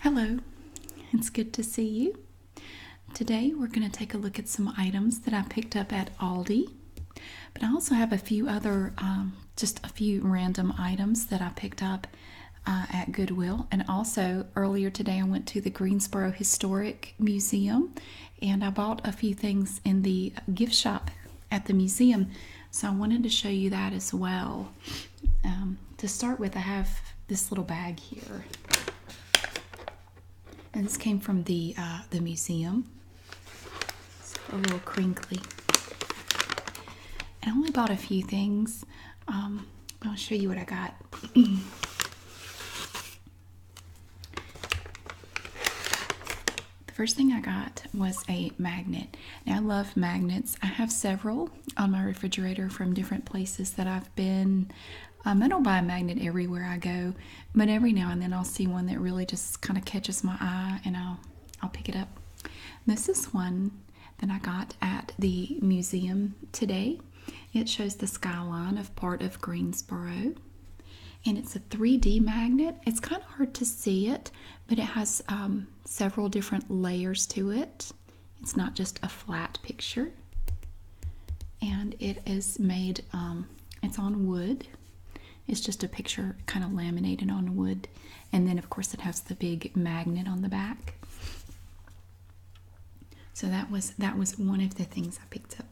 Hello, it's good to see you. Today we're going to take a look at some items that I picked up at Aldi, but I also have a few other, um, just a few random items that I picked up uh, at Goodwill. And also earlier today I went to the Greensboro Historic Museum and I bought a few things in the gift shop at the museum. So I wanted to show you that as well. Um, to start with, I have this little bag here, and this came from the uh, the museum. It's a little crinkly. And I only bought a few things. Um, I'll show you what I got. the first thing I got was a magnet. Now I love magnets. I have several on my refrigerator from different places that I've been. Um, I don't buy a magnet everywhere I go, but every now and then I'll see one that really just kind of catches my eye and I'll I'll pick it up. This is one that I got at the museum today. It shows the skyline of part of Greensboro. And it's a 3D magnet. It's kind of hard to see it, but it has um, several different layers to it. It's not just a flat picture, and it is made, um, it's on wood. It's just a picture kind of laminated on wood, and then, of course, it has the big magnet on the back. So that was that was one of the things I picked up.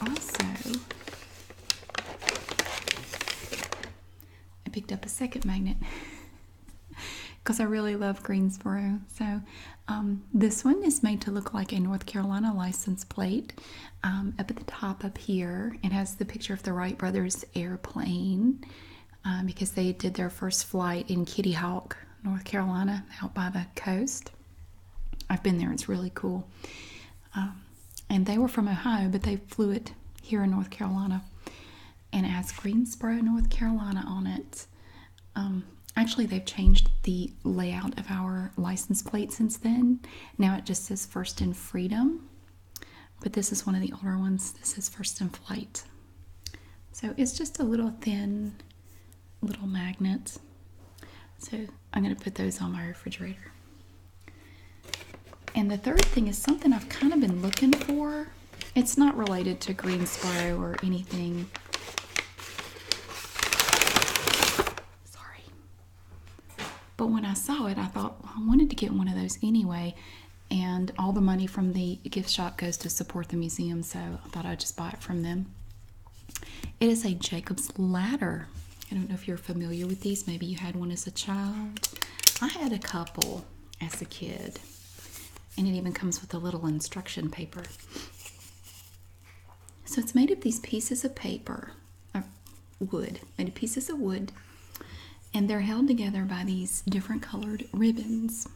Also, I picked up a second magnet because I really love Greensboro. So um, this one is made to look like a North Carolina license plate um, up at the top up here. It has the picture of the Wright brothers airplane um, because they did their first flight in Kitty Hawk, North Carolina, out by the coast. I've been there. It's really cool. Um, and they were from Ohio, but they flew it here in North Carolina. And it has Greensboro, North Carolina on it. Um, actually, they've changed the layout of our license plate since then. Now it just says First in Freedom. But this is one of the older ones. This is First in Flight. So it's just a little thin little magnet. So I'm going to put those on my refrigerator. And the third thing is something I've kind of been looking for. It's not related to green Greensboro or anything. Sorry. But when I saw it, I thought I wanted to get one of those anyway. And all the money from the gift shop goes to support the museum, so I thought I'd just buy it from them. It is a Jacob's Ladder. I don't know if you're familiar with these. Maybe you had one as a child. I had a couple as a kid, and it even comes with a little instruction paper. So it's made of these pieces of paper, or uh, wood, made of pieces of wood, and they're held together by these different colored ribbons.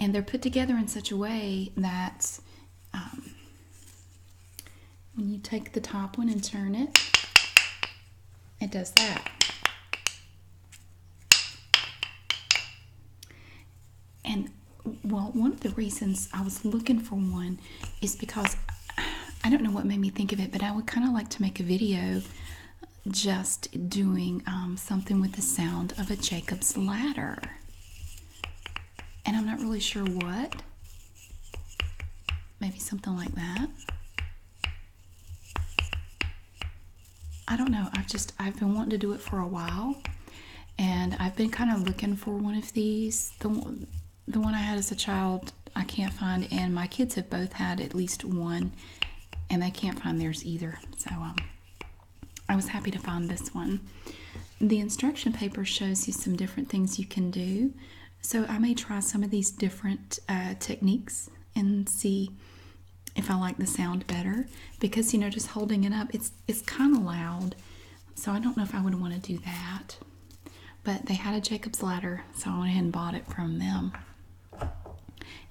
And they're put together in such a way that um, when you take the top one and turn it, it does that. And well, one of the reasons I was looking for one is because I don't know what made me think of it, but I would kind of like to make a video just doing um, something with the sound of a Jacob's ladder. And I'm not really sure what. Maybe something like that. I don't know. I've just I've been wanting to do it for a while, and I've been kind of looking for one of these. The one, the one I had as a child, I can't find, and my kids have both had at least one, and they can't find theirs either. So um, I was happy to find this one. The instruction paper shows you some different things you can do. So I may try some of these different uh, techniques and see if I like the sound better because you know just holding it up it's it's kind of loud. So I don't know if I would want to do that. But they had a Jacob's ladder, so I went ahead and bought it from them.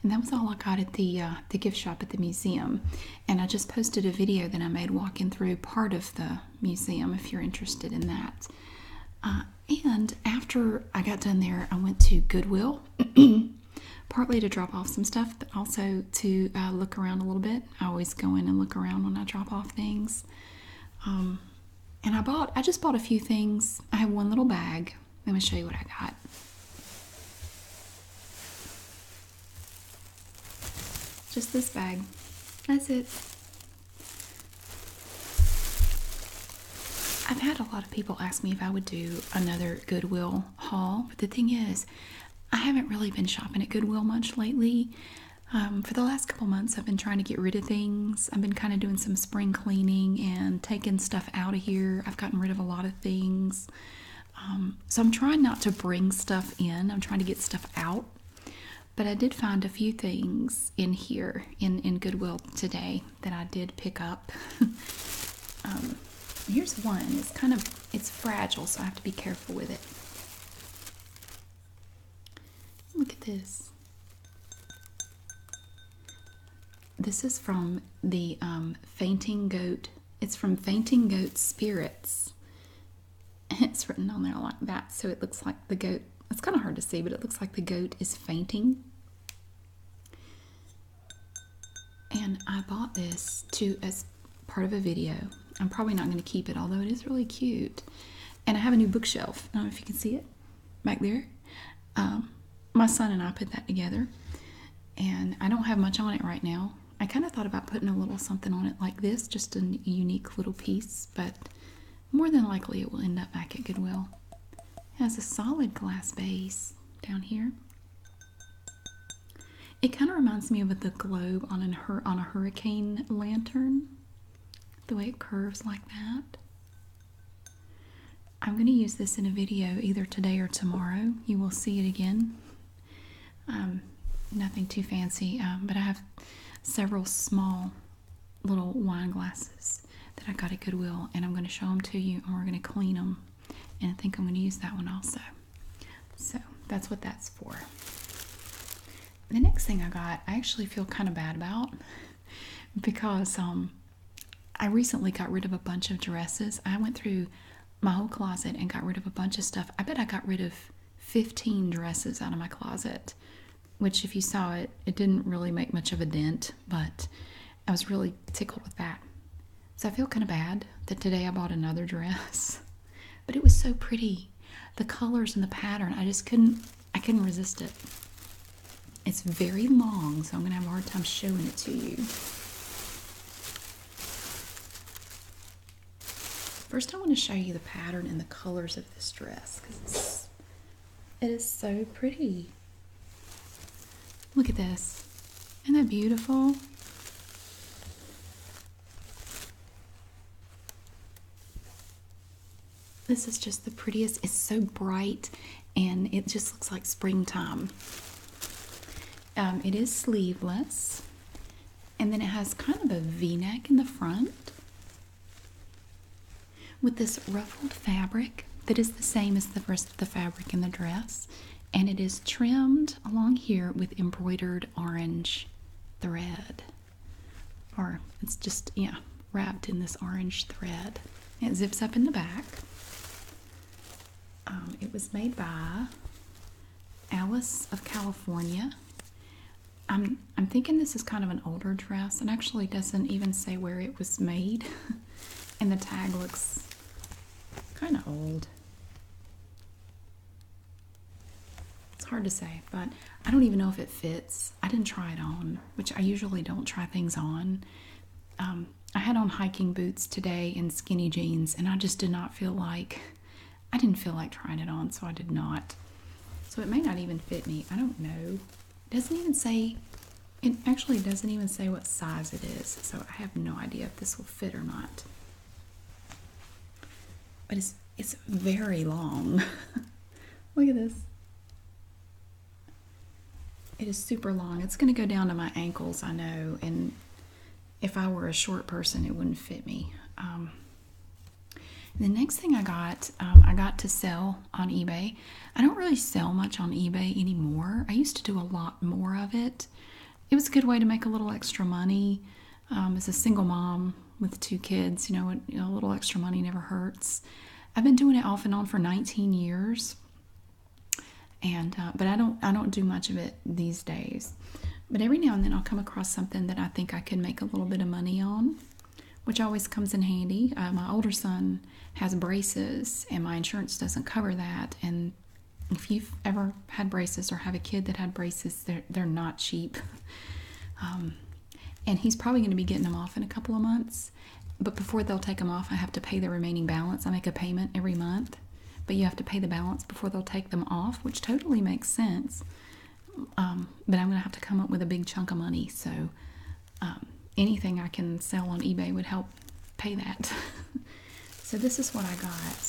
And that was all I got at the uh, the gift shop at the museum. And I just posted a video that I made walking through part of the museum if you're interested in that. Uh, and after I got done there, I went to Goodwill, partly to drop off some stuff, but also to uh, look around a little bit. I always go in and look around when I drop off things. Um, and I bought, I just bought a few things. I have one little bag. Let me show you what I got. Just this bag. That's it. I've had a lot of people ask me if I would do another Goodwill haul, but the thing is, I haven't really been shopping at Goodwill much lately. Um, for the last couple months, I've been trying to get rid of things. I've been kind of doing some spring cleaning and taking stuff out of here. I've gotten rid of a lot of things. Um, so I'm trying not to bring stuff in, I'm trying to get stuff out. But I did find a few things in here in, in Goodwill today that I did pick up. Um, here's one. It's kind of it's fragile, so I have to be careful with it. Look at this. This is from the um, Fainting Goat. It's from Fainting Goat Spirits. It's written on there like that, so it looks like the goat. It's kind of hard to see, but it looks like the goat is fainting. And I bought this to as part of a video. I'm probably not going to keep it, although it is really cute. And I have a new bookshelf. I don't know if you can see it back there. Um, my son and I put that together. And I don't have much on it right now. I kind of thought about putting a little something on it like this, just a unique little piece, but more than likely it will end up back at Goodwill has a solid glass base down here. It kind of reminds me of the globe on, a hurricane lantern, the way it curves like that. I'm going to use this in a video either today or tomorrow. You will see it again. Um, nothing too fancy, um, but I have several small little wine glasses that I got at Goodwill, and I'm going to show them to you, and we're going to clean them. And I think I'm going to use that one also. So that's what that's for. The next thing I got, I actually feel kind of bad about because um, I recently got rid of a bunch of dresses. I went through my whole closet and got rid of a bunch of stuff. I bet I got rid of 15 dresses out of my closet, which, if you saw it, it didn't really make much of a dent, but I was really tickled with that. So I feel kind of bad that today I bought another dress, but it was so pretty. The colors and the pattern, I just couldn't, I couldn't resist it. It's very long, so I'm gonna have a hard time showing it to you. First, I want to show you the pattern and the colors of this dress because it is so pretty. Look at this. Isn't that beautiful? This is just the prettiest. It's so bright and it just looks like springtime. Um, it is sleeveless and then it has kind of a v-neck in the front with this ruffled fabric that is the same as the rest of the fabric in the dress, and it is trimmed along here with embroidered orange thread. Or it's just, yeah, wrapped in this orange thread. It zips up in the back. Um, it was made by Alice of California. I'm, I'm thinking this is kind of an older dress and actually doesn't even say where it was made. and the tag looks kind of old. It's hard to say, but I don't even know if it fits. I didn't try it on, which I usually don't try things on. Um, I had on hiking boots today and skinny jeans, and I just did not feel like I didn't feel like trying it on, so I did not. So it may not even fit me. I don't know. It doesn't even say, it actually doesn't even say what size it is, so I have no idea if this will fit or not. But it's it's very long. Look at this. It is super long. It's going to go down to my ankles, I know, and if I were a short person, it wouldn't fit me. Um, the next thing I got, um, I got to sell on eBay. I don't really sell much on eBay anymore. I used to do a lot more of it. It was a good way to make a little extra money. Um, as a single mom with two kids, you know, a little extra money never hurts. I've been doing it off and on for 19 years, and uh, but I don't I don't do much of it these days. But every now and then I'll come across something that I think I can make a little bit of money on, which always comes in handy. Uh, my older son has braces and my insurance doesn't cover that and if you've ever had braces or have a kid that had braces they're, not cheap um, and he's probably going to be getting them off in a couple of months but before they'll take them off i have to pay the remaining balance i make a payment every month but you have to pay the balance before they'll take them off which totally makes sense um, but i'm going to have to come up with a big chunk of money so um, anything I can sell on eBay would help pay that. so this is what I got.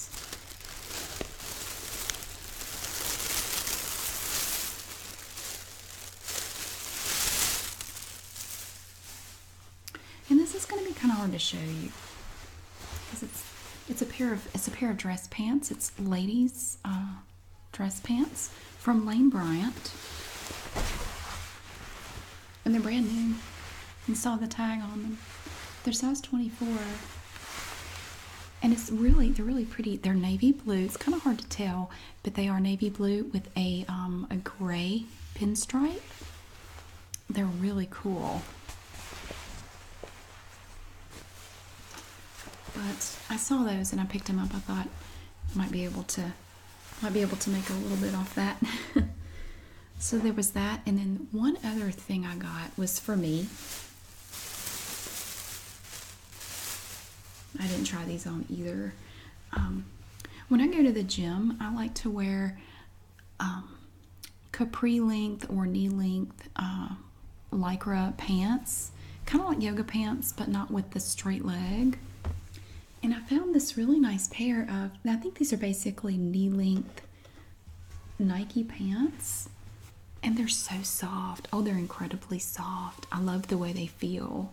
And this is going to be kind of hard to show you because it's it's a pair of it's a pair of dress pants. It's ladies uh, dress pants from Lane Bryant and they're brand new. And saw the tag on them. They're size 24. And it's really, they're really pretty. They're navy blue. It's kind of hard to tell, but they are navy blue with a, um, a gray pinstripe. They're really cool. But I saw those and I picked them up. I thought I might be able to might be able to make a little bit off that. so there was that. And then one other thing I got was for me. I didn't try these on either. Um, when I go to the gym, I like to wear um, capri length or knee length uh, lycra pants, kind of like yoga pants, but not with the straight leg. And I found this really nice pair of, I think these are basically knee length Nike pants. And they're so soft. Oh, they're incredibly soft. I love the way they feel.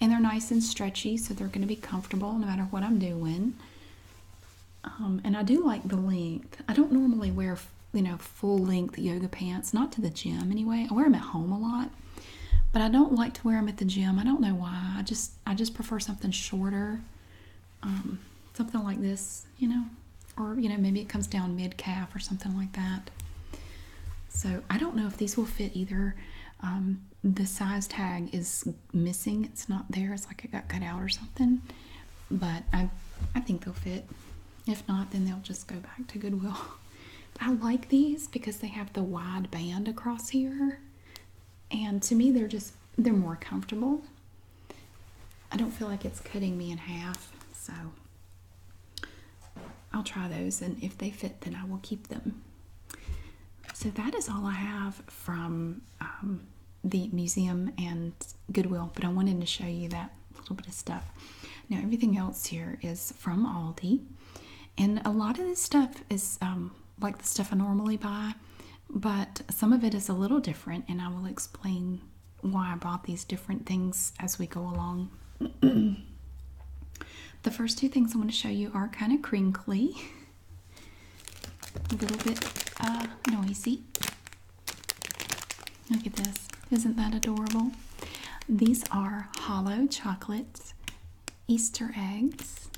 And they're nice and stretchy, so they're going to be comfortable no matter what I'm doing. Um, and I do like the length. I don't normally wear, you know, full length yoga pants, not to the gym anyway. I wear them at home a lot, but I don't like to wear them at the gym. I don't know why. I just I just prefer something shorter, um, something like this, you know, or you know maybe it comes down mid calf or something like that. So I don't know if these will fit either. Um, the size tag is missing; it's not there. It's like it got cut out or something. But I I think they'll fit. If not, then they'll just go back to Goodwill. I like these because they have the wide band across here and to me they're just they're more comfortable I don't feel like it's cutting me in half so I'll try those and if they fit then I will keep them so that is all I have from um, the museum and Goodwill but I wanted to show you that little bit of stuff now everything else here is from Aldi and a lot of this stuff is um, like the stuff I normally buy, but some of it is a little different, and I will explain why I bought these different things as we go along. the first two things I want to show you are kind of crinkly, a little bit uh, noisy. Look at this. Isn't that adorable? These are hollow chocolates Easter eggs,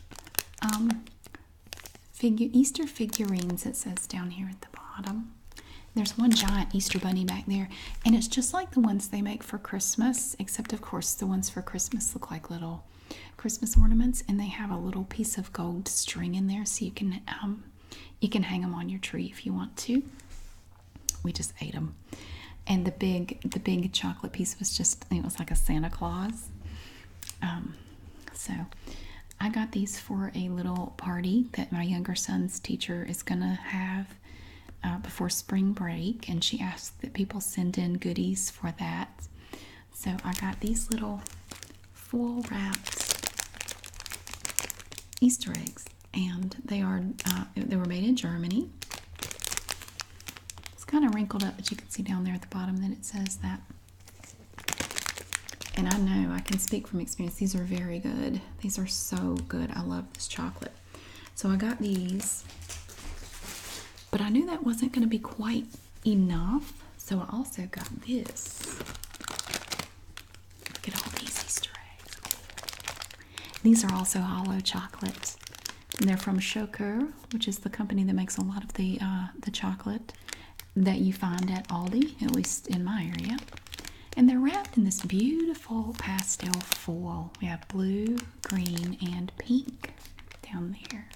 um, figure Easter figurines. It says down here at the bottom. There's one giant Easter bunny back there, and it's just like the ones they make for Christmas, except of course the ones for Christmas look like little Christmas ornaments, and they have a little piece of gold string in there, so you can um, you can hang them on your tree if you want to. We just ate them, and the big the big chocolate piece was just it was like a Santa Claus. Um, so I got these for a little party that my younger son's teacher is going to have uh, before spring break, and she asked that people send in goodies for that. So I got these little full wrapped Easter eggs, and they are uh, they were made in Germany. It's kind of wrinkled up, but you can see down there at the bottom that it says that. And I know I can speak from experience. These are very good. These are so good. I love this chocolate. So I got these, but I knew that wasn't going to be quite enough. So I also got this. Look at all these Easter eggs. These are also hollow chocolate. And they're from Shoker which is the company that makes a lot of the uh, the chocolate that you find at Aldi, at least in my area. And they're wrapped in this beautiful pastel foil. We have blue, green, and pink down there.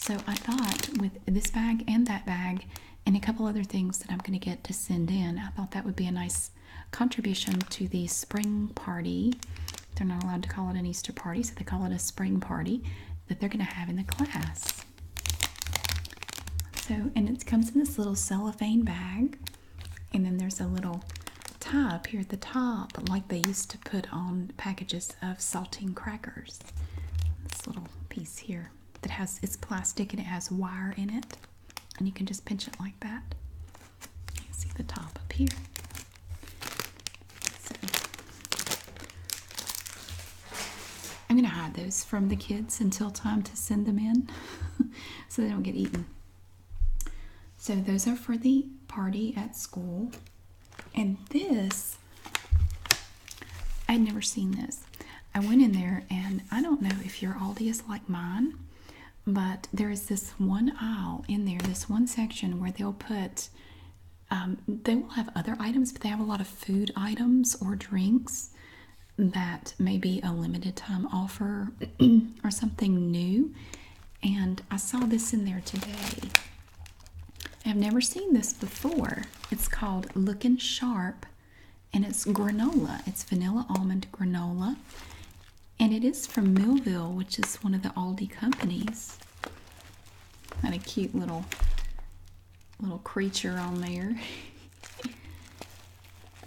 So I thought with this bag and that bag and a couple other things that I'm going to get to send in, I thought that would be a nice contribution to the spring party they're not allowed to call it an Easter party, so they call it a spring party that they're going to have in the class. So, and it comes in this little cellophane bag, and then there's a little tie up here at the top, like they used to put on packages of saltine crackers. This little piece here that has it's plastic and it has wire in it, and you can just pinch it like that see the top up here. I'm going to hide those from the kids until time to send them in so they don't get eaten. So, those are for the party at school. And this, I'd never seen this. I went in there, and I don't know if your Aldi is like mine, but there is this one aisle in there, this one section where they'll put um, they will have other items, but they have a lot of food items or drinks that may be a limited time offer or something new. And I saw this in there today. I've never seen this before. It's called Looking Sharp and it's granola. It's vanilla almond granola. And it is from Millville, which is one of the Aldi companies. Got a cute little little creature on there. I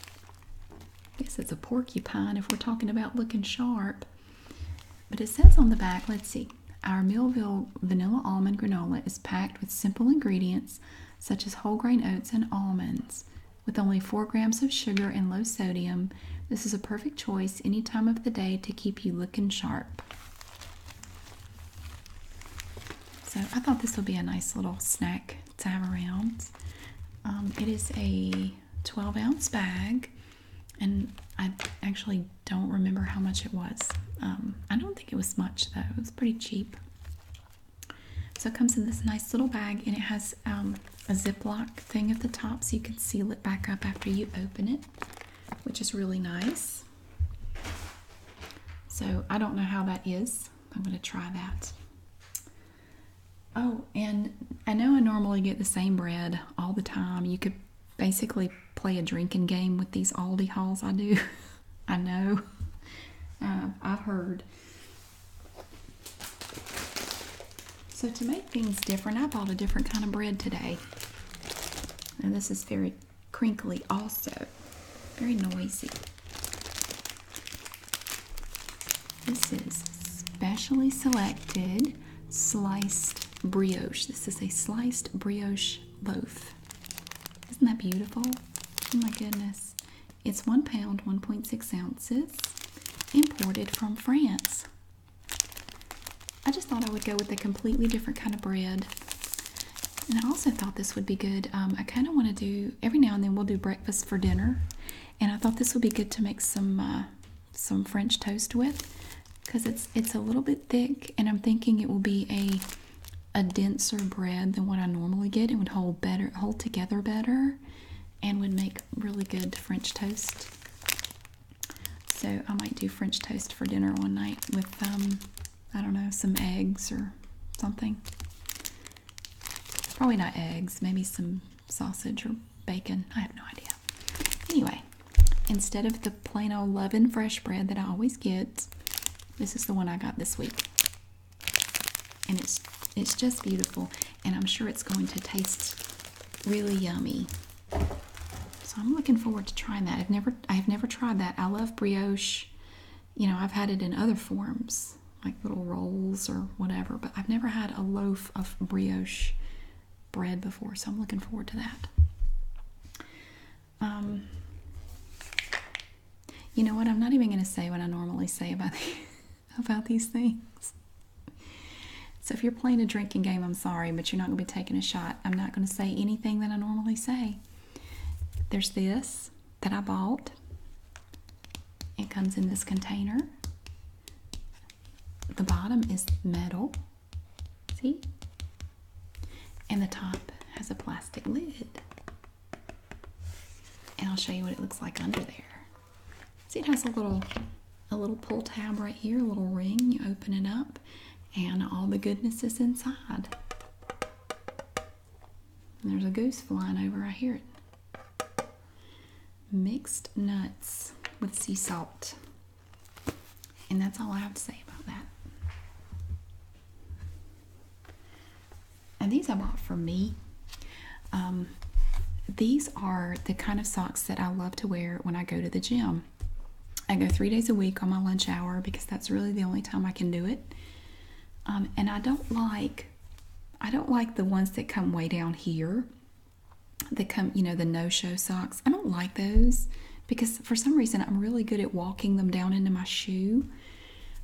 guess it's a porcupine if we're talking about looking sharp. But it says on the back, let's see, our Millville vanilla almond granola is packed with simple ingredients such as whole grain oats and almonds. With only 4 grams of sugar and low sodium, this is a perfect choice any time of the day to keep you looking sharp. So I thought this would be a nice little snack to have around. Um, it is a 12 ounce bag, and I actually don't remember how much it was. Um, I don't think it was much though, it was pretty cheap. So it comes in this nice little bag, and it has um, a Ziploc thing at the top so you can seal it back up after you open it which is really nice. So I don't know how that is. I'm going to try that. Oh, and I know I normally get the same bread all the time. You could basically play a drinking game with these Aldi hauls I do. I know. Uh, I've heard. So to make things different, I bought a different kind of bread today. And this is very crinkly also. Very noisy. This is specially selected sliced brioche. This is a sliced brioche loaf. Isn't that beautiful? Oh my goodness. It's one pound, 1.6 ounces, imported from France. I just thought I would go with a completely different kind of bread. And I also thought this would be good. Um, I kind of want to do every now and then we'll do breakfast for dinner, and I thought this would be good to make some uh, some French toast with, because it's it's a little bit thick, and I'm thinking it will be a a denser bread than what I normally get. It would hold better, hold together better, and would make really good French toast. So I might do French toast for dinner one night with, um, I don't know, some eggs or something. Probably not eggs, maybe some sausage or bacon. I have no idea. Anyway, instead of the plain old love fresh bread that I always get, this is the one I got this week. And it's it's just beautiful and I'm sure it's going to taste really yummy. So I'm looking forward to trying that. I've never I've never tried that. I love brioche. You know, I've had it in other forms, like little rolls or whatever, but I've never had a loaf of brioche bread before, so I'm looking forward to that. Um, you know what? I'm not even going to say what I normally say about about these things. So if you're playing a drinking game, I'm sorry, but you're not going to be taking a shot. I'm not going to say anything that I normally say. There's this that I bought. It comes in this container. The bottom is metal. See? And the top has a plastic lid. And I'll show you what it looks like under there. See, it has a little a little pull tab right here, a little ring. You open it up, and all the goodness is inside. there's a goose flying over. I hear it. Mixed nuts with sea salt. And that's all I have to say about that. And these I bought for me. Um, these are the kind of socks that I love to wear when I go to the gym. I go three days a week on my lunch hour because that's really the only time I can do it. Um, and I don't like, I don't like the ones that come way down here. That come, you know, the no-show socks. I don't like those because for some reason I'm really good at walking them down into my shoe.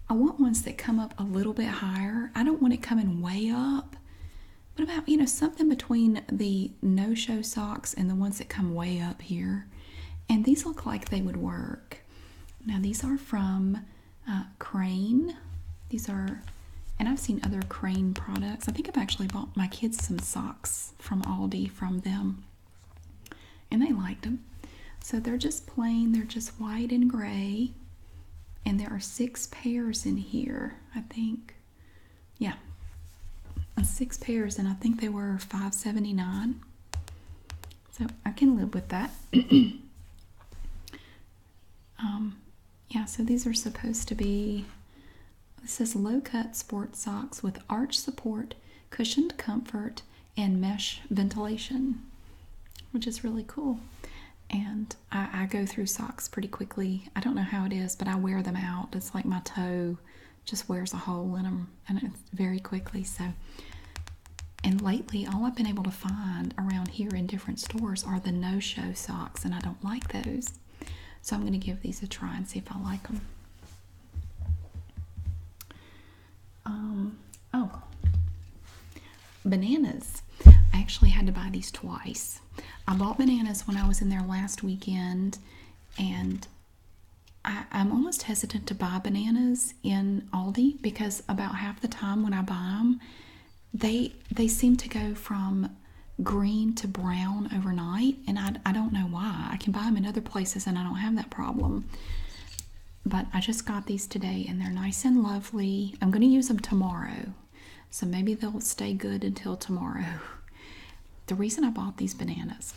I want ones that come up a little bit higher. I don't want it coming way up. What about, you know, something between the no-show socks and the ones that come way up here. And these look like they would work. Now these are from uh, Crane. These are, and I've seen other Crane products. I think I've actually bought my kids some socks from Aldi from them. And they liked them. So they're just plain, they're just white and gray. And there are six pairs in here, I think yeah, six pairs, and I think they were five seventy nine. So I can live with that. um, yeah, so these are supposed to be. This says low cut sport socks with arch support, cushioned comfort, and mesh ventilation, which is really cool. And I go through socks pretty quickly. I don't know how it is, but I wear them out. It's like my toe just wears a hole in them and very quickly. So, and lately, all I've been able to find around here in different stores are the no-show socks, and I don't like those. So I'm going to give these a try and see if I like them. Um, oh, bananas. I actually had to buy these twice. I bought bananas when I was in there last weekend, and I, am almost hesitant to buy bananas in Aldi because about half the time when I buy them, they they seem to go from green to brown overnight, and I, I don't know why. I can buy them in other places and I don't have that problem. But I just got these today and they're nice and lovely. I'm going to use them tomorrow, so maybe they'll stay good until tomorrow the reason I bought these bananas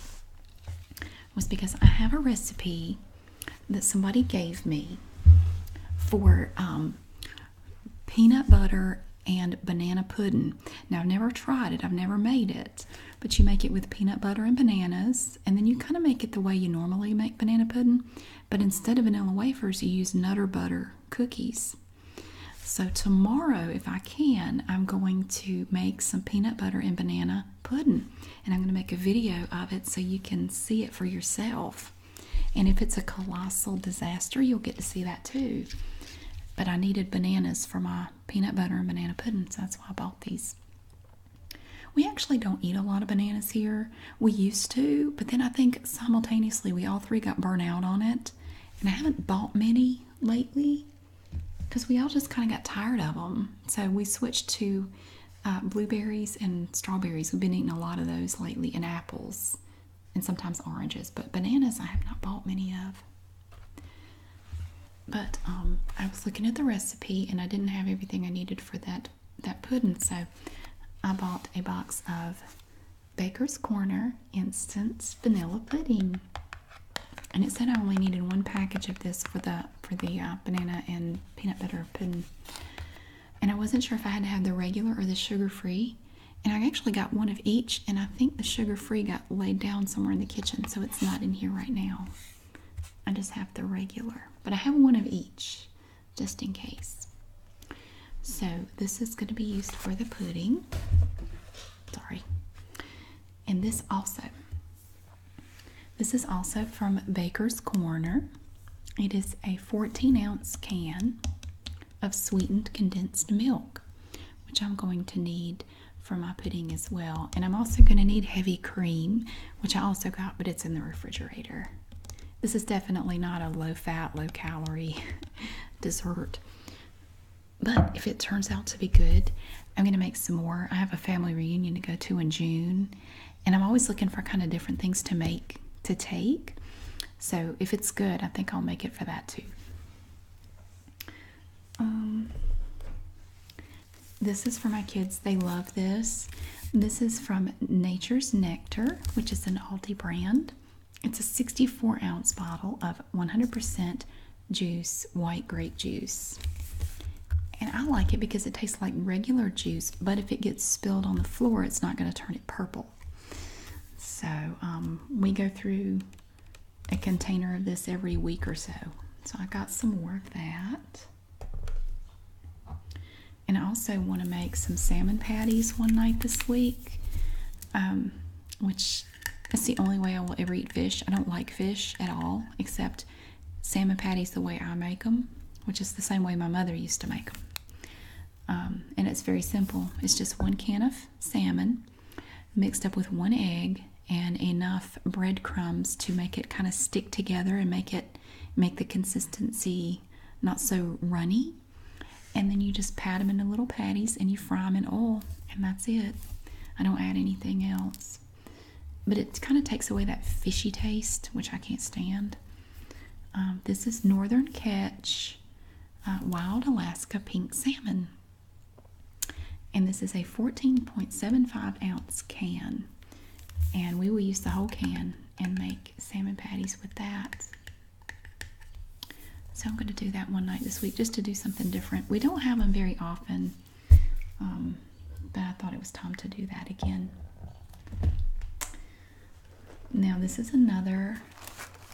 was because I have a recipe that somebody gave me for um, peanut butter and banana pudding. Now, I've never tried it, I've never made it, but you make it with peanut butter and bananas, and then you kind of make it the way you normally make banana pudding, but instead of vanilla wafers, you use nutter butter cookies. So, tomorrow, if I can, I'm going to make some peanut butter and banana pudding. And I'm going to make a video of it so you can see it for yourself. And if it's a colossal disaster, you'll get to see that too. But I needed bananas for my peanut butter and banana pudding, so that's why I bought these. We actually don't eat a lot of bananas here. We used to, but then I think simultaneously we all three got burnt out on it. And I haven't bought many lately because we all just kind of got tired of them. So we switched to uh, blueberries and strawberries. We've been eating a lot of those lately, and apples and sometimes oranges. But bananas, I have not bought many of. But um, I was looking at the recipe and I didn't have everything I needed for that, that pudding. So I bought a box of Baker's Corner Instant Vanilla Pudding and it said I only needed one package of this for the for the uh, banana and peanut butter pudding. And I wasn't sure if I had to have the regular or the sugar-free. And I actually got one of each, and I think the sugar-free got laid down somewhere in the kitchen, so it's not in here right now. I just have the regular, but I have one of each, just in case. So this is going to be used for the pudding. Sorry. And this also, this is also from Baker's Corner. It is a 14 ounce can of sweetened condensed milk, which I'm going to need for my pudding as well. And I'm also going to need heavy cream, which I also got, but it's in the refrigerator. This is definitely not a low fat, low calorie dessert. But if it turns out to be good, I'm going to make some more. I have a family reunion to go to in June, and I'm always looking for kind of different things to make, to take. So if it's good, I think I'll make it for that too. Um, this is for my kids. They love this. This is from Nature's Nectar, which is an Aldi brand. It's a 64 ounce bottle of 100% juice, white grape juice. And I like it because it tastes like regular juice, but if it gets spilled on the floor, it's not going to turn it purple. So um, we go through a container of this every week or so. So I got some more of that. And I also want to make some salmon patties one night this week, um, which that's the only way I will ever eat fish. I don't like fish at all, except salmon patties the way I make them, which is the same way my mother used to make them. Um, and it's very simple. It's just one can of salmon mixed up with one egg and enough breadcrumbs to make it kind of stick together and make it make the consistency not so runny. And then you just pat them into little patties and you fry them in oil, and that's it. I don't add anything else. But it kind of takes away that fishy taste, which I can't stand. Um, this is Northern Catch uh, Wild Alaska Pink Salmon. And this is a 14.75 ounce can. And we will use the whole can and make salmon patties with that. So I'm going to do that one night this week just to do something different. We don't have them very often um, but I thought it was time to do that again. Now, this is another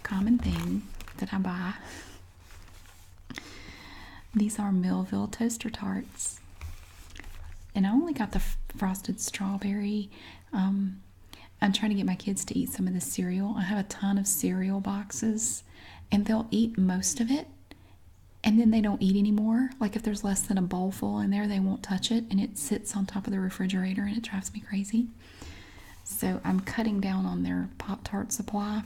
common thing that I buy. These are Millville toaster tarts. And I only got the frosted strawberry. Um, I'm trying to get my kids to eat some of the cereal. I have a ton of cereal boxes, and they'll eat most of it, and then they don't eat anymore. Like if there's less than a bowl full in there, they won't touch it and it sits on top of the refrigerator and it drives me crazy. So I'm cutting down on their Pop Tart supply,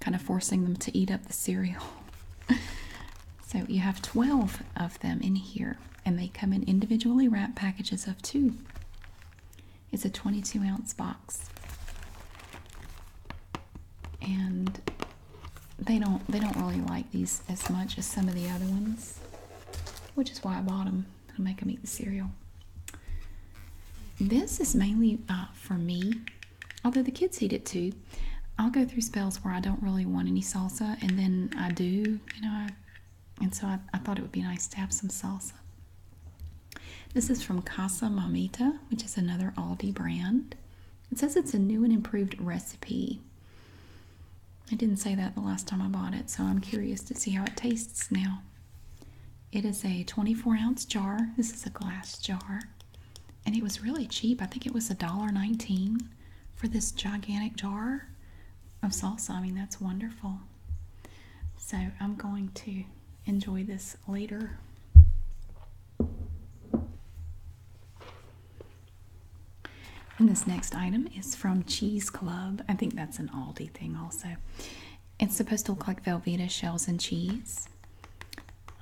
kind of forcing them to eat up the cereal. so you have 12 of them in here and they come in individually wrapped packages of two. It's a 22 ounce box and they don't they don't really like these as much as some of the other ones, which is why I bought them. to make them eat the cereal. This is mainly uh, for me, although the kids eat it too. I'll go through spells where I don't really want any salsa, and then I do, you know. I, and so I, I thought it would be nice to have some salsa. This is from Casa Mamita, which is another Aldi brand. It says it's a new and improved recipe. I didn't say that the last time I bought it, so I'm curious to see how it tastes now. It is a 24 ounce jar. This is a glass jar. And it was really cheap. I think it was a dollar nineteen for this gigantic jar of salsa. I mean, that's wonderful. So I'm going to enjoy this later. And this next item is from Cheese Club. I think that's an Aldi thing, also. It's supposed to look like Velveeta shells and cheese.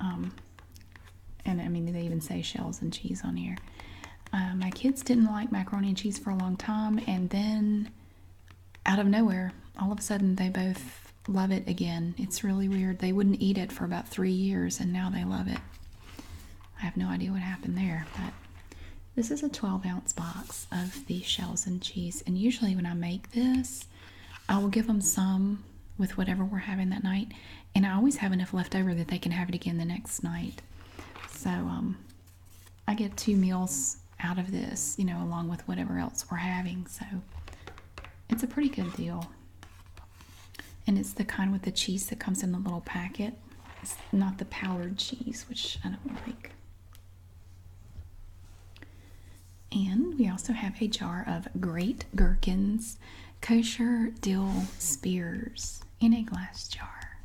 Um, and I mean, they even say shells and cheese on here. Uh, my kids didn't like macaroni and cheese for a long time, and then out of nowhere, all of a sudden, they both love it again. It's really weird. They wouldn't eat it for about three years and now they love it. I have no idea what happened there, but this is a 12 ounce box of the shells and cheese. And usually, when I make this, I will give them some with whatever we're having that night. And I always have enough left over that they can have it again the next night. So, um, I get two meals out of this, you know, along with whatever else we're having. So, it's a pretty good deal. And it's the kind with the cheese that comes in the little packet. It's not the powdered cheese, which I don't like. And we also have a jar of great gherkins, kosher dill spears in a glass jar.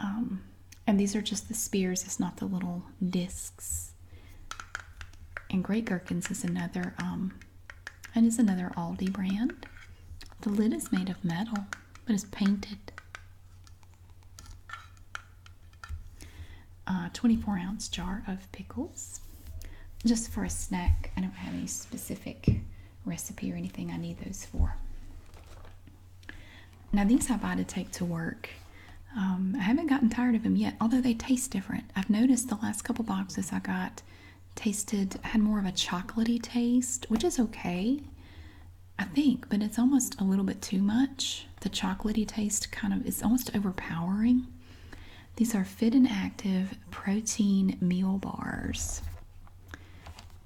Um, and these are just the spears, it's not the little discs. And Grey Gherkins is another um another Aldi brand. The lid is made of metal, but it's painted. Uh, 24 ounce jar of pickles just for a snack. I don't have any specific recipe or anything I need those for. Now, these I buy to take to work um, I haven't gotten tired of them yet, although they taste different. I've noticed the last couple boxes I got tasted had more of a chocolaty taste, which is okay, I think, but it's almost a little bit too much. The chocolaty taste kind of is almost overpowering. These are Fit and Active Protein Meal Bars.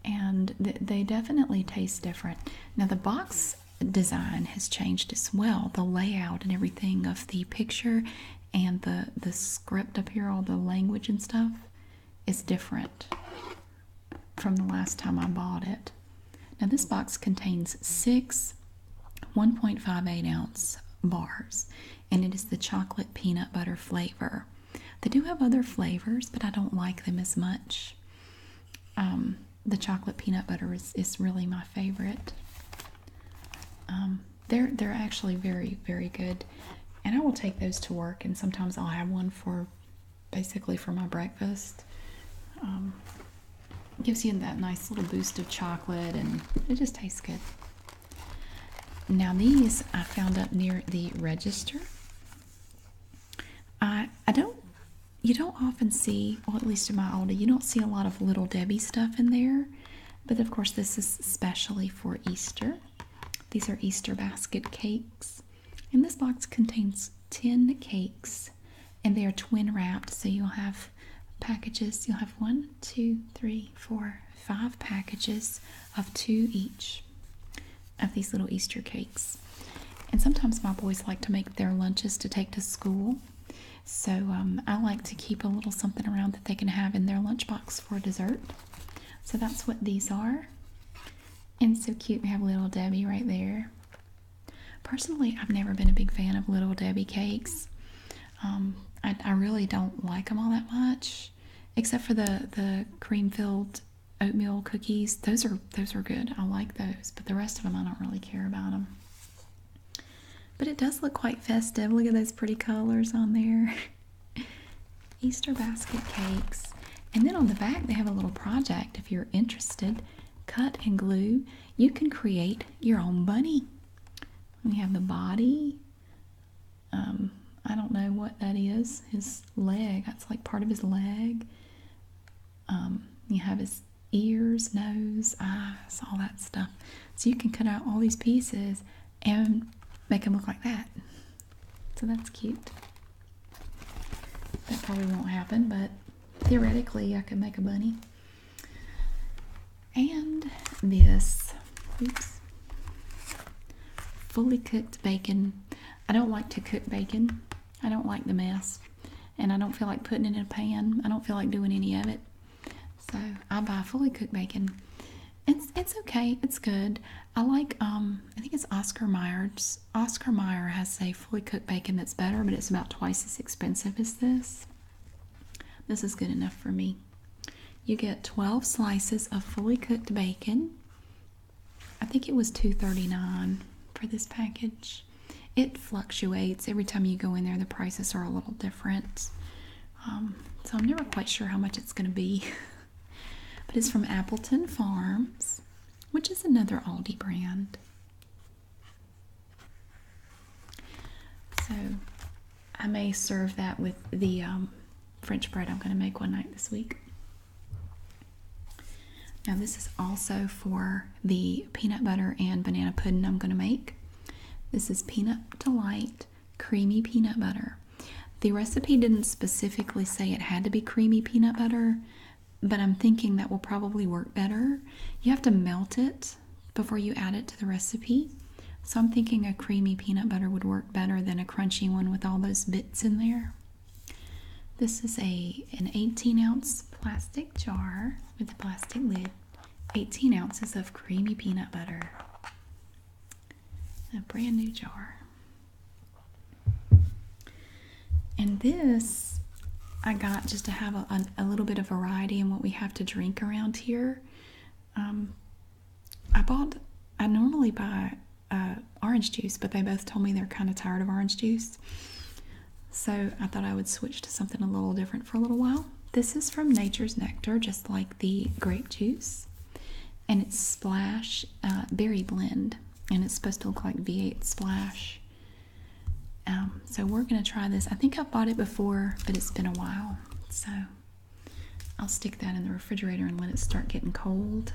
And they definitely taste different. Now, the box design has changed as well. The layout and everything of the picture and the the script up here all the language and stuff is different from the last time I bought it. Now this box contains six 1.58 ounce bars and it is the chocolate peanut butter flavor. They do have other flavors, but I don't like them as much. Um, the chocolate peanut butter is, is really my favorite. Um, they're they're actually very very good, and I will take those to work. And sometimes I'll have one for, basically for my breakfast. Um, gives you that nice little boost of chocolate, and it just tastes good. Now these I found up near the register. I I don't you don't often see, well at least in my Aldi, you don't see a lot of Little Debbie stuff in there. But of course, this is especially for Easter. These are Easter basket cakes. And this box contains 10 cakes, and they are twin wrapped. So you'll have packages, you'll have one, two, three, four, five packages of two each of these little Easter cakes. And sometimes my boys like to make their lunches to take to school. So um, I like to keep a little something around that they can have in their lunchbox for dessert. So that's what these are. And so cute, we have Little Debbie right there. Personally, I've never been a big fan of Little Debbie cakes. Um, I, I really don't like them all that much, except for the the cream filled oatmeal cookies. Those are those are good. I like those, but the rest of them I don't really care about them. But it does look quite festive. Look at those pretty colors on there. Easter basket cakes. And then on the back, they have a little project if you're interested. Cut and glue. You can create your own bunny. We have the body. Um, I don't know what that is. His leg. That's like part of his leg. Um, you have his ears, nose, eyes, all that stuff. So you can cut out all these pieces and make them look like that. So that's cute. That probably won't happen, but theoretically I could make a bunny. And this, fully cooked bacon. I don't like to cook bacon. I don't like the mess. And I don't feel like putting it in a pan. I don't feel like doing any of it. So I buy fully cooked bacon. It's it's okay. It's good. I like um I think it's Oscar Mayer's. Oscar Mayer has a fully cooked bacon that's better, but it's about twice as expensive as this. This is good enough for me. You get 12 slices of fully cooked bacon. I think it was 2.39 for this package. It fluctuates every time you go in there. The prices are a little different. Um, so I'm never quite sure how much it's going to be, but it's from Appleton Farms, which is another Aldi brand. So I may serve that with the um, French bread I'm going to make one night this week. Now, this is also for the peanut butter and banana pudding I'm going to make. This is Peanut Delight creamy peanut butter. The recipe didn't specifically say it had to be creamy peanut butter, but I'm thinking that will probably work better. You have to melt it before you add it to the recipe. So I'm thinking a creamy peanut butter would work better than a crunchy one with all those bits in there. This is a an 18 ounce plastic jar with a plastic lid. 18 ounces of creamy peanut butter. A brand new jar. And this I got just to have a, little bit of variety in what we have to drink around here. Um, I bought, I normally buy uh, orange juice, but they both told me they're kind of tired of orange juice. So I thought I would switch to something a little different for a little while. This is from Nature's Nectar, just like the grape juice, and it's Splash uh, Berry Blend, and it's supposed to look like V8 Splash. Um, so we're gonna try this. I think I have bought it before, but it's been a while, so I'll stick that in the refrigerator and let it start getting cold.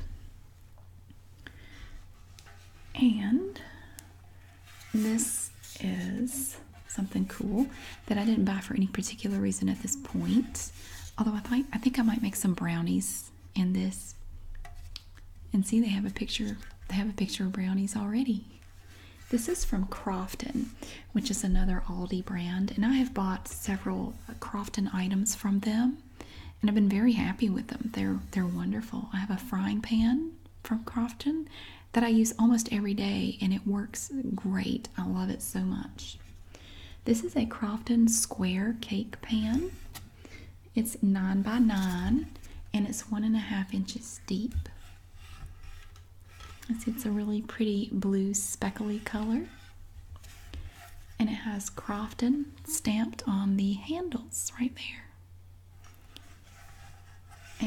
And this is something cool that I didn't buy for any particular reason at this point. Although I think I think I might make some brownies in this. And see, they have a picture. They have a picture of brownies already. This is from Crofton, which is another Aldi brand, and I have bought several uh, Crofton items from them, and I've been very happy with them. They're they're wonderful. I have a frying pan from Crofton that I use almost every day and it works great. I love it so much. This is a Crofton Square cake pan. It's 9 by 9 and it's one and a half inches deep. It's, it's a really pretty blue speckly color and it has Crofton stamped on the handles right there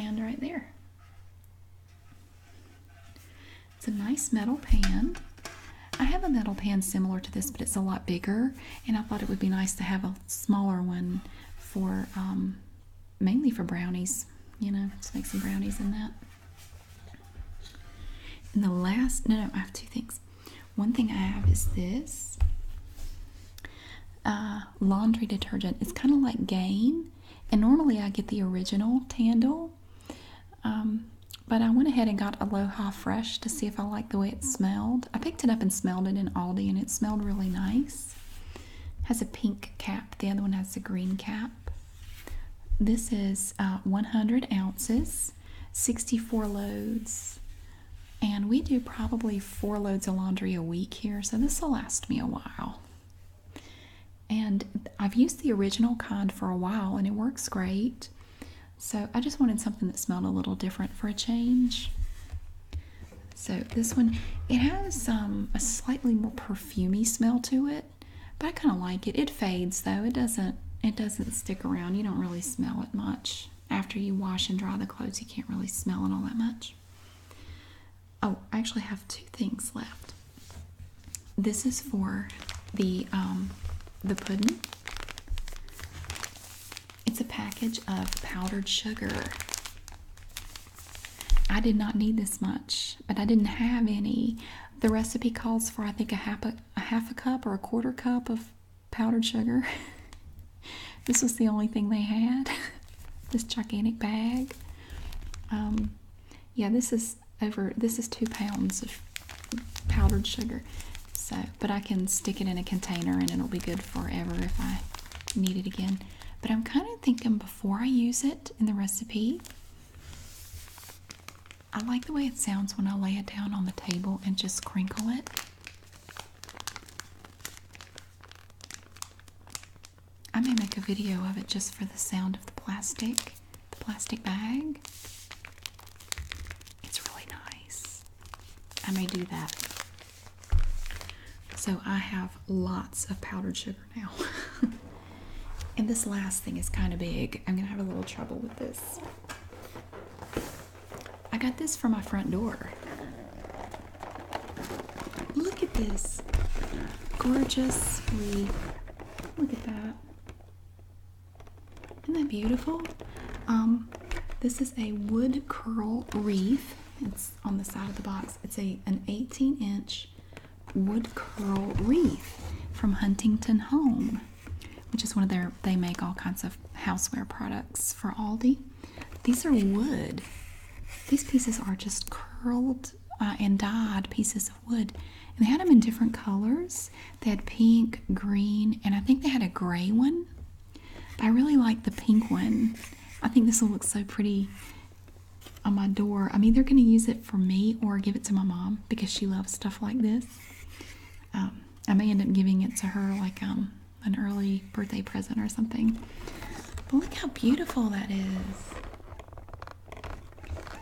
and right there. It's a nice metal pan. I have a metal pan similar to this, but it's a lot bigger, and I thought it would be nice to have a smaller one for um, mainly for brownies. You know, just make some brownies in that. And the last, no, no, I have two things. One thing I have is this uh, laundry detergent. It's kind of like Gain, and normally I get the original Tandle, um, but I went ahead and got Aloha Fresh to see if I like the way it smelled. I picked it up and smelled it in Aldi, and it smelled really nice. has a pink cap. The other one has a green cap. This is uh, 100 ounces, 64 loads, and we do probably four loads of laundry a week here, so this will last me a while. And I've used the original kind for a while and it works great. So I just wanted something that smelled a little different for a change. So this one, it has um, a slightly more perfumy smell to it, but I kind of like it. It fades though; it doesn't it doesn't stick around. You don't really smell it much after you wash and dry the clothes. You can't really smell it all that much. Oh, I actually have two things left. This is for the um, the pudding. It's a package of powdered sugar. I did not need this much, but I didn't have any. The recipe calls for I think a half a, a half a cup or a quarter cup of powdered sugar. this was the only thing they had. this gigantic bag. Um, yeah, this is over this is two pounds of powdered sugar so but I can stick it in a container and it'll be good forever if I need it again but I'm kind of thinking before I use it in the recipe I like the way it sounds when I lay it down on the table and just crinkle it I may make a video of it just for the sound of the plastic, the plastic bag. It's really nice. I may do that. So I have lots of powdered sugar now. and this last thing is kind of big. I'm going to have a little trouble with this. I got this for my front door. Look at this gorgeously Look at that. Isn't that beautiful? Um, this is a wood curl wreath. It's on the side of the box. It's a an 18 inch wood curl wreath from Huntington Home, which is one of their. They make all kinds of houseware products for Aldi. These are wood. These pieces are just curled uh, and dyed pieces wood. And they had them in different colors. They had pink, green, and I think they had a gray one. I really like the pink one. I think this will look so pretty on my door. I'm either going to use it for me or give it to my mom because she loves stuff like this. Um, I may end up giving it to her like um, an early birthday present or something. But look how beautiful that is.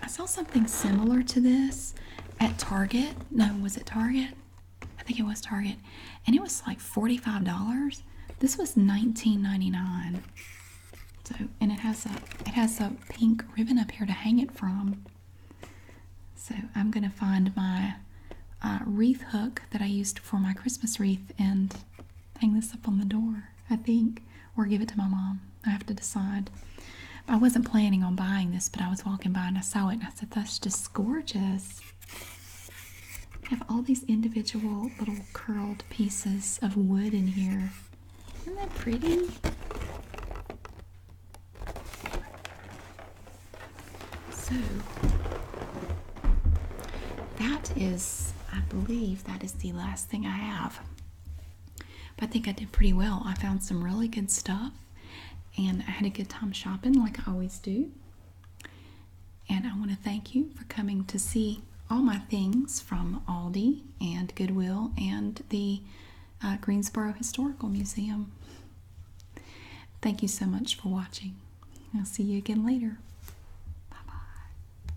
I saw something similar to this at Target. No, was it Target? I think it was Target. And it was like $45. This was $19.99. So and it has a it has a pink ribbon up here to hang it from. So I'm gonna find my uh, wreath hook that I used for my Christmas wreath and hang this up on the door. I think, or give it to my mom. I have to decide. I wasn't planning on buying this, but I was walking by and I saw it and I said, that's just gorgeous. I have all these individual little curled pieces of wood in here. Isn't that pretty? So, that is, I believe, that is the last thing I have. But I think I did pretty well. I found some really good stuff and I had a good time shopping like I always do. And I want to thank you for coming to see all my things from Aldi and Goodwill and the uh, Greensboro Historical Museum. Thank you so much for watching. I'll see you again later. Bye bye.